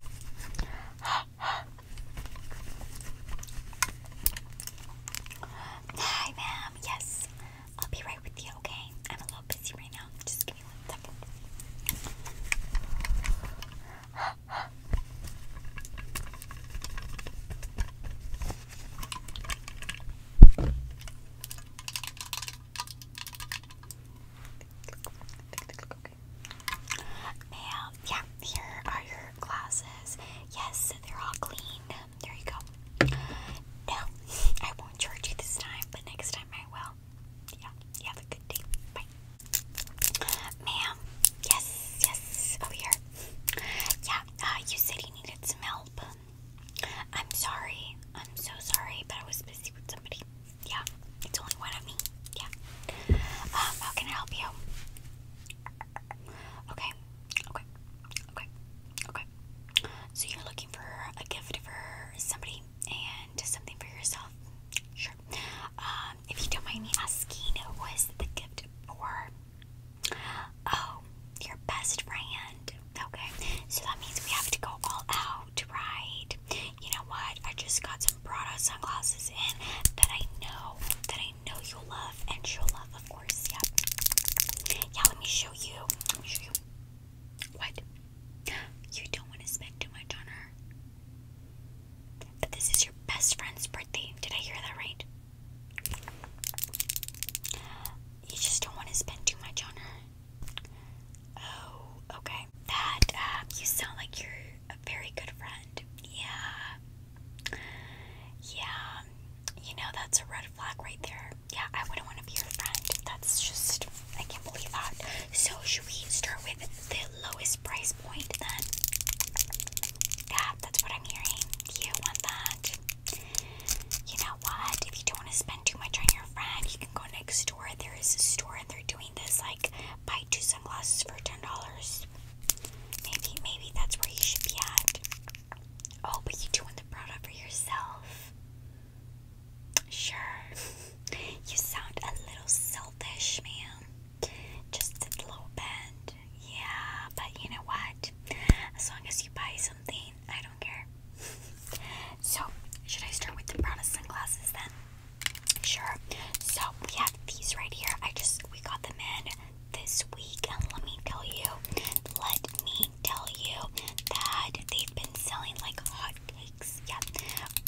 Hi, ma'am. Yes, I'll be right with you, okay? I'm a little busy right now. Just give me one second. Now, yeah, here are your glasses. Yes, they're all clean. There you go. No, I won't charge you this time, but next time I will. Yeah, you have a good day. Bye. Ma'am, yes, yes, over here. Yeah, uh, you said you needed some help. I'm sorry. I'm so sorry, but I was busy with somebody. Yeah, it's only one of me. Yeah. Um, how can I help you? Okay, okay, okay, okay. So you're looking for a gift for somebody and something for yourself? Sure. Um, if you don't mind me asking, what is the gift for? Oh, your best friend. Okay, so that means we have to go all out, right? you know what? I just got some Prada sunglasses in that I know that I know you'll love and she'll love, of course. Yeah. yeah, let me show you. Let me show you. What? You don't want to spend too much on her. But this is your best friend's birthday. Did I hear that right? You just don't want to spend too much on her. Oh, okay that um, you sound like you're a very good friend. Yeah. Yeah. You know, that's a red flag right there. Yeah, I wouldn't want to be your friend. That's just, I can't believe that. So, should we start with the lowest price point then? Yeah, that's what I'm hearing. You want that. You know what? If you don't want to spend too much on your friend, you can go next store. There is a store and they're doing this like buy two sunglasses for ten dollars. Maybe maybe that's where you should be at. Oh, but you doing the product for yourself. Sure. you sound a little selfish, ma'am. Just a little bit. Yeah, but you know what? As long as you buy something, I don't care. so, should I start with the brown sunglasses then? Sure. So we have these right here. I just we got them in this week, and let me tell you, let me tell you that they've been selling like hotcakes. Yeah.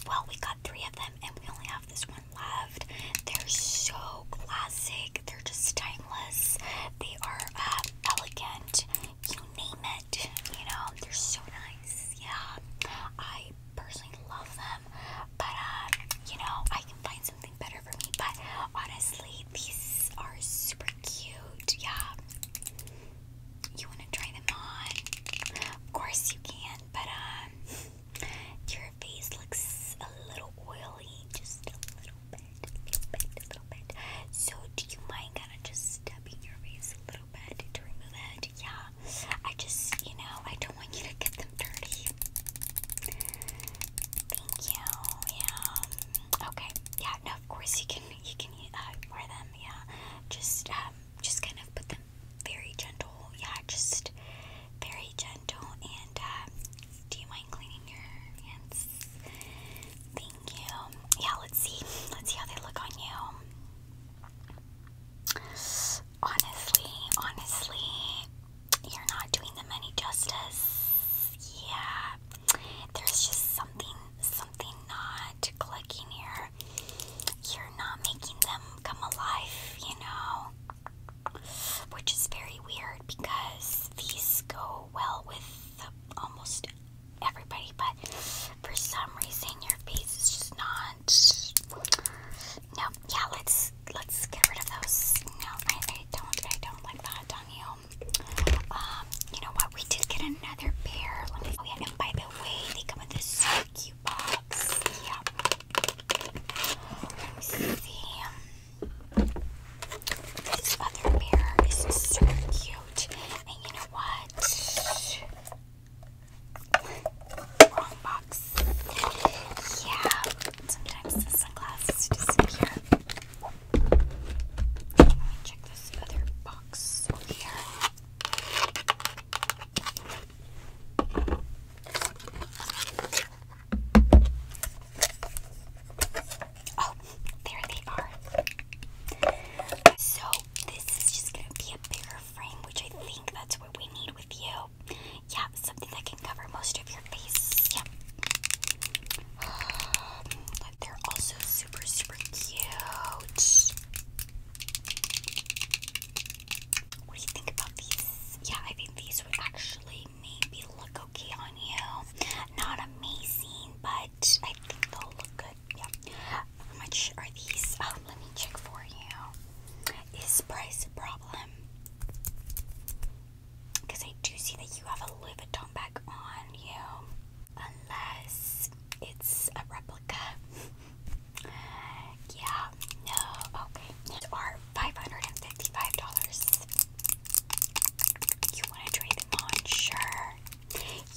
Well, we got three of them, and we only have this one left. They're so classic. They're just timeless. They are uh, elegant. You name it red. You know, they're so nice. Yeah, I personally love them, but um, you know, I can find something better for me. But honestly, these are super cute. Yeah, you want to try them on? Of course you can, but um, your face looks a little oily, just a little bit, a little bit, a little bit. So, do you mind kind of just stepping your face a little bit to remove it? yeah. I just, you know, I don't want you to get them dirty. Thank you. Yeah. Okay. Yeah. No, of course you can. You can uh, wear them. Yeah. Just, um, just kind of put them very gentle. Yeah. Just very gentle. And um, do you mind cleaning your hands? Thank you. Yeah. Let's see. Let's see how they look on you. Honestly, honestly, you're not doing them any justice. Yeah. There's just something something not clicking here. You're not making them come alive, you know. Which is very weird because these go well with almost everybody, but for some reason your face is just not. No, yeah, let's let's get rid of those. No, I, don't, I don't like that on Um, you know what? We did get another pair. Let me. Oh by the way, they come this so cute box. Yeah. Let me see. This other pair is so cute, and you know what? Wrong box. Yeah, sometimes the sunglasses disappear. Let me check this other box over here. Oh, there they are. So, this is just gonna be a bigger frame, which I think that's what we need with you. Yeah, something that can cover most of your face. Yeah. Um, they're also super, super cute. What do you think about these? Yeah, I think these would actually maybe look okay on you. Not amazing, but I think they'll look good. How much are these? Oh, let me check for you. Is price a problem? Because I do see that you have a Louis back on you. Unless it's a replica. yeah, no, okay. It's are $555. You want to trade them on? Sure.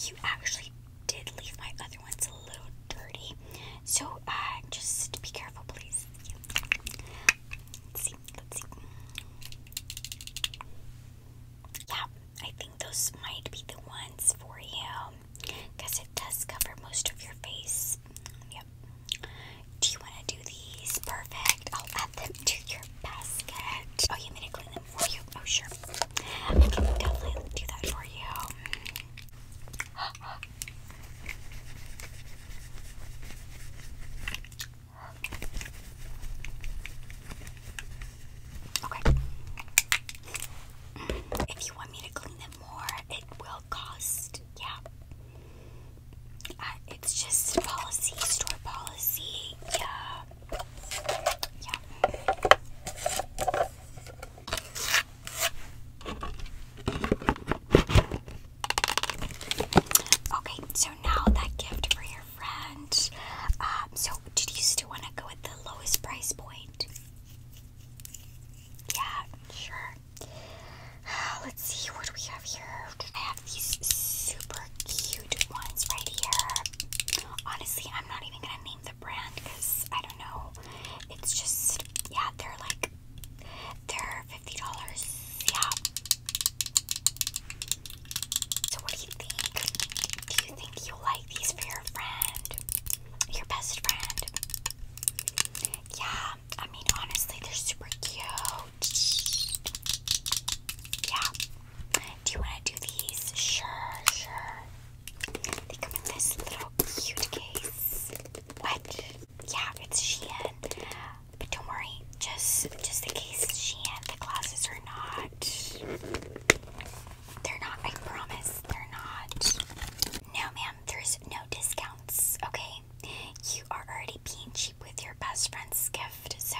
You actually did leave my other ones a little dirty. So uh, just be careful, please. Yeah, I think those might be the ones for you because it does cover most of your face. Yep. Do you want to do these? Perfect. I'll add them to your basket. Oh, you mean to clean them? for you. Oh, sure. I can definitely do that for you. Okay. If you want me to clean them more, it will cost. Yeah. Uh, it's just policy, store policy. Yeah. Okay, so now that gift for your friend. Um, so, did you still want to go with the lowest price point? Yeah, sure. Let's see what we have here. I have these super cute ones right here. Honestly, I'm not even gonna the brand because I don't know. It's just yeah, they're like they're fifty dollars. Yeah. So what do you think? Do you think you'll like these for your friend? Your best friend? Yeah, I mean honestly they're super cute. Yeah. Do you want to do these? Sure, sure. They come in this little cute case. What? Yeah, it's Shein. But don't worry, just just the case is Shein. The glasses are not. They're not. I promise, they're not. No, ma'am. There's no discounts. Okay, you are already being cheap with your best friend's gift, so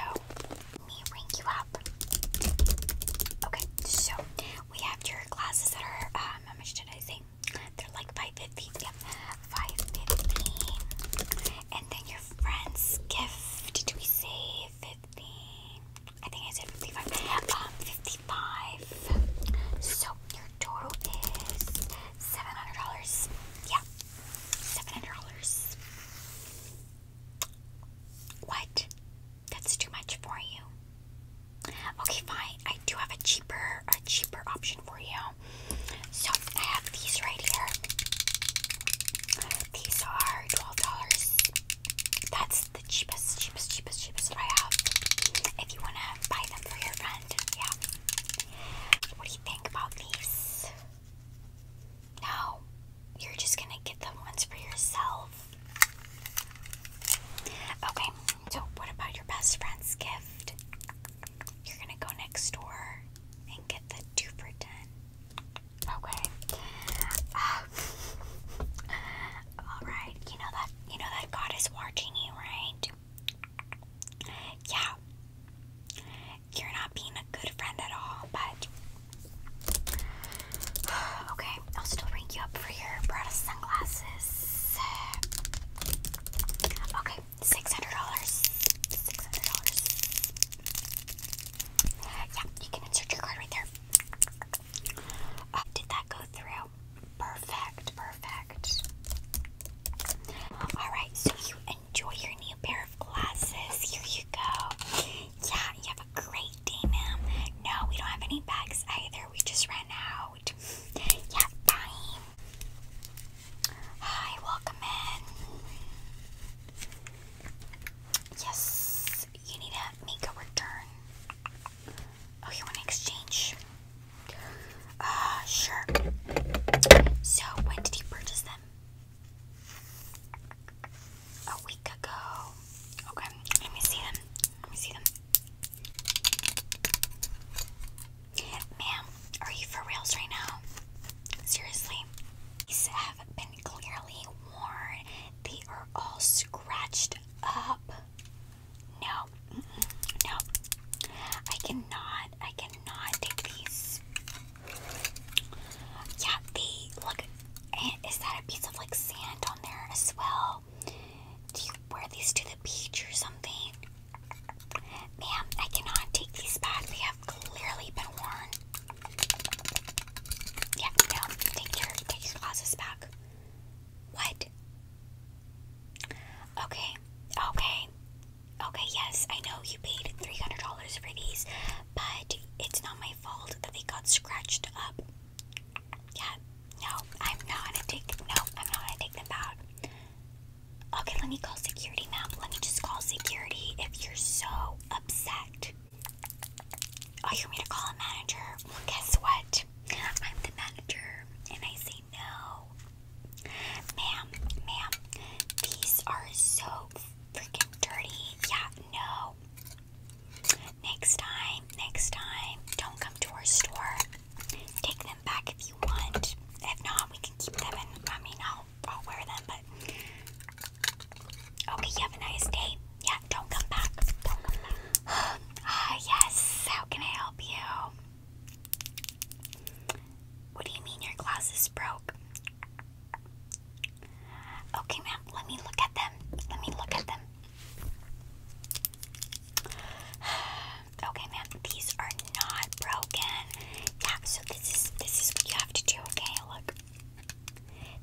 let me ring you up. Okay, so we have your glasses that are, um, how much did I say? They're like 550 Yep, 550 And then your friend's gift, did we say 50? I think I said 55. Um, 55. So your total is $700. Yeah, $700. What? That's too much for you. Okay, fine. I do have a cheaper, a cheaper option for you. So I have these right here. These are twelve dollars. That's the cheapest, cheapest, cheapest, cheapest that I have. If you wanna buy them for your friend, yeah. What do you think about these? No, you're just gonna get them ones for yourself. Okay, so what about your best friend's gift? You're gonna go next door and get the two for ten. Okay. Um, all right. You know that you know that God is watching you, right? Yeah. You're not being a good friend at all, but Okay, I'll still ring you up for your Prada sunglasses. Okay, six hundred dollars. Six hundred dollars. Yeah, you can insert your card right there. Uh, did that go through? Perfect, perfect. Alright, so you enjoy your new pair of glasses. Here you go. Yeah, you have a great day, ma'am. No, we don't have any bags either. We just ran out. Yeah, bye. Hi, welcome in. Yes, you need to make a return. Oh, you want to exchange? Uh, sure. So, when did you purchase them? a week ago. Okay, let me see them. Let me see them. Ma'am, are you for reals right now? Seriously? These have been clearly worn. They are all scratched up. No, no. I cannot, I cannot take these. Yeah, they look. Is that a piece of like sand on there as well? Do you wear these to the beach or something? Ma'am, I cannot take these back. They have clearly been worn. Yeah, no, take your take your glasses back. What? Okay, okay, okay. Yes, I know you paid three hundred dollars for these, but it's not my fault that they got scratched up. Yeah, no, I'm not gonna take no, I'm not gonna take them out. Okay, let me call security, ma'am. Let me just call security if you're so upset. Oh, you me to call a manager? Well, guess what? I'm the manager, and I say no. Ma'am, ma'am, these are so freaking dirty. Yeah, no. Next time, next time, don't come to our store. Take them back if you want. If not, we can keep them I mean I'll I'll wear them, but okay, you have a nice day. Yeah, don't come back. Don't come back. Ah yes, how can I help you? What do you mean your glasses broke? Okay, man. let me look at them. Let me look at them. Okay, man. these are not broken. Yeah, so this is this is what you have to do, okay? Look.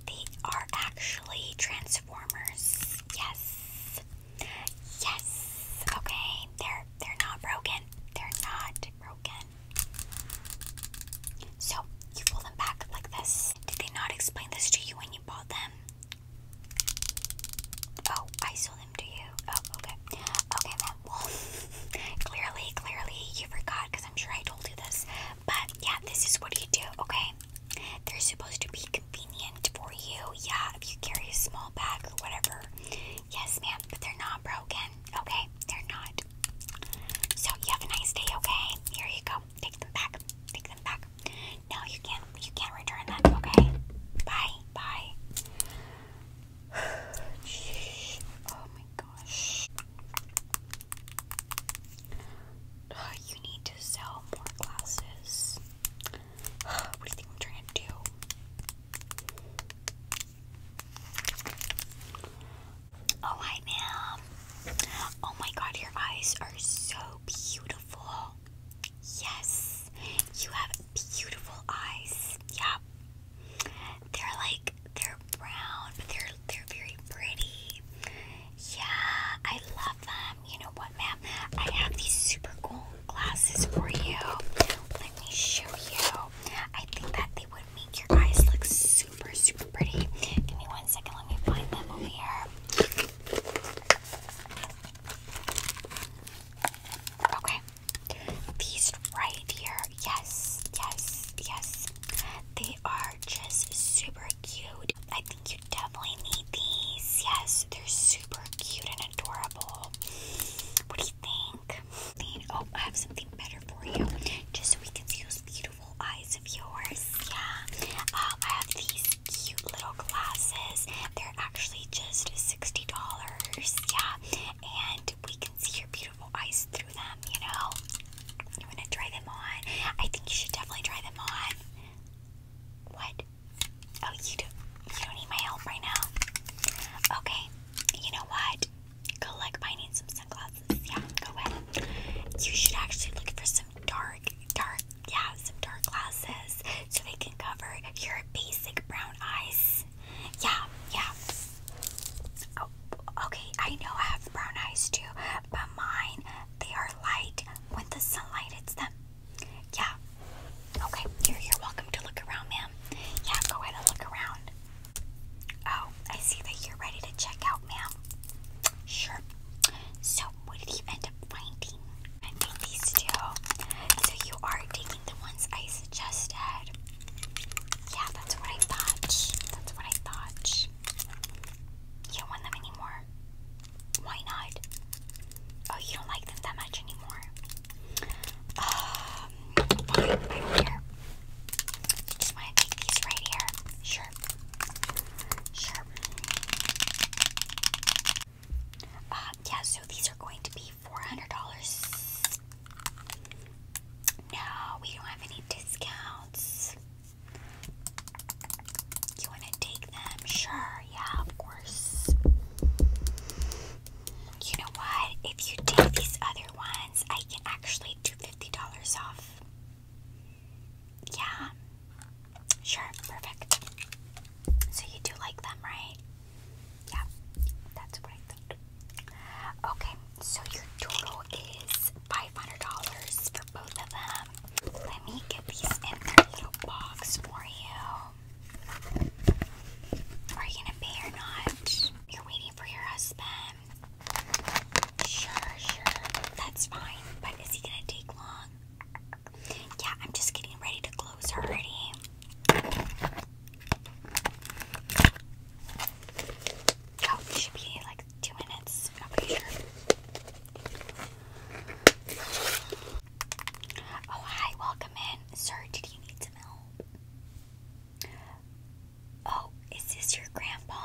They are actually transformers. Yes. Yes. Okay. They're they're not broken. They're not broken. So, you fold them back like this. Did they not explain this to you when you bought them? Oh, I sold them to you. Oh, okay. Okay, then. clearly, clearly you forgot because I'm sure I told you this. But yeah, this is what you do, okay? They're supposed to be convenient for you. Yeah, if you carry a small bag or whatever. Yes, ma'am, but they're not broken okay? They're not. So you have a nice day, okay? Here you go. Take them back. Take them back. No, you can't you can't return them, okay? Bye. Bye. oh my gosh. you need to sell more glasses. What do you think I'm trying to do? Oh, hi, ma'am. Oh my god, your eyes are so beautiful. Yes, you have beautiful eyes. Yeah. They're like they're brown, but they're they're very pretty. Yeah, I love them. You know what, ma'am? I have these super cool glasses for you. Let me show you. I think that they would make your eyes look so super, super pretty. Give me one second, let me find them over here. Okay, these right here, yes, yes, yes. They are just super cute. I think you definitely need these. Yes, they're super cute and adorable. What do think. Oh, I have something better for you. Just so we can see those beautiful eyes of yours. Yeah. Um, I have these cute little glasses. They're actually just $60. Yeah. And we can see your beautiful eyes through them, you know? You want to try them on? I think you should definitely try them on. What? Oh, you don't, you don't need my help right now. Okay. You know what? Go look. I some sunglasses. Yeah, go ahead. You should actually look for some dark, dark, yeah, some dark glasses so they can cover your basic brown eyes. Yeah, yeah. Oh, okay. I know I have brown eyes too, but mine they are light when the sunlight hits them. Yeah. Okay. You're you're welcome to look around, ma'am. Yeah, go ahead and look around. Oh, I see that you're ready to check out, ma'am. Sure. So, what did you end up finding? I these two. So, you are taking the ones I suggested. Yeah, that's what I thought. That's what I thought. You don't want them anymore? Why not? Oh, you don't like them that much anymore? Um, just want to take these right here. Sure. Sure. Uh, yeah, so these are going to be $400. No, we don't have any discounts. You want to take them? Sure, yeah, of course. You know what? If you take these other ones, I can actually do $50 off. Yeah. Sure, perfect. So you do like them, right? Yeah, that's what Okay, so your total is $500 for both of them. Let me get these in their little box for you. Are you gonna pay or not? You're waiting for your husband? Sure, sure. That's fine. But is he gonna take long? Yeah, I'm just getting ready to close already. Oh, it should be like two minutes. Oh, hi, welcome in. Sir, did you need some help? Oh, is this your grandpa?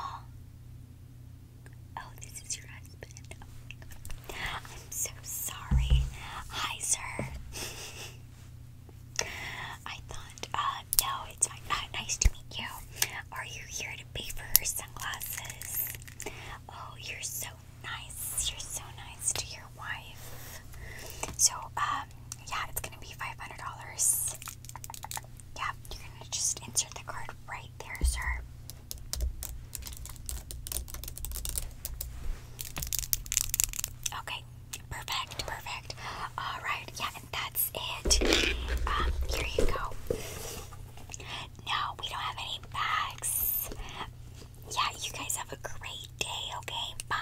Oh, this is your husband. I'm so sorry. Hi, sir. I thought, uh, no, it's fine. Uh, nice to meet you. Are you here to pay for her sunglasses? Oh, you're so nice. You're so nice to your wife. So, um, um, yeah, it's gonna be $500. Yeah, you're gonna just insert the card right there, sir. Okay, perfect, perfect. Alright, yeah, and that's it. Um, here you go. No, we don't have any bags. Yeah, you guys have a great day, okay? Bye.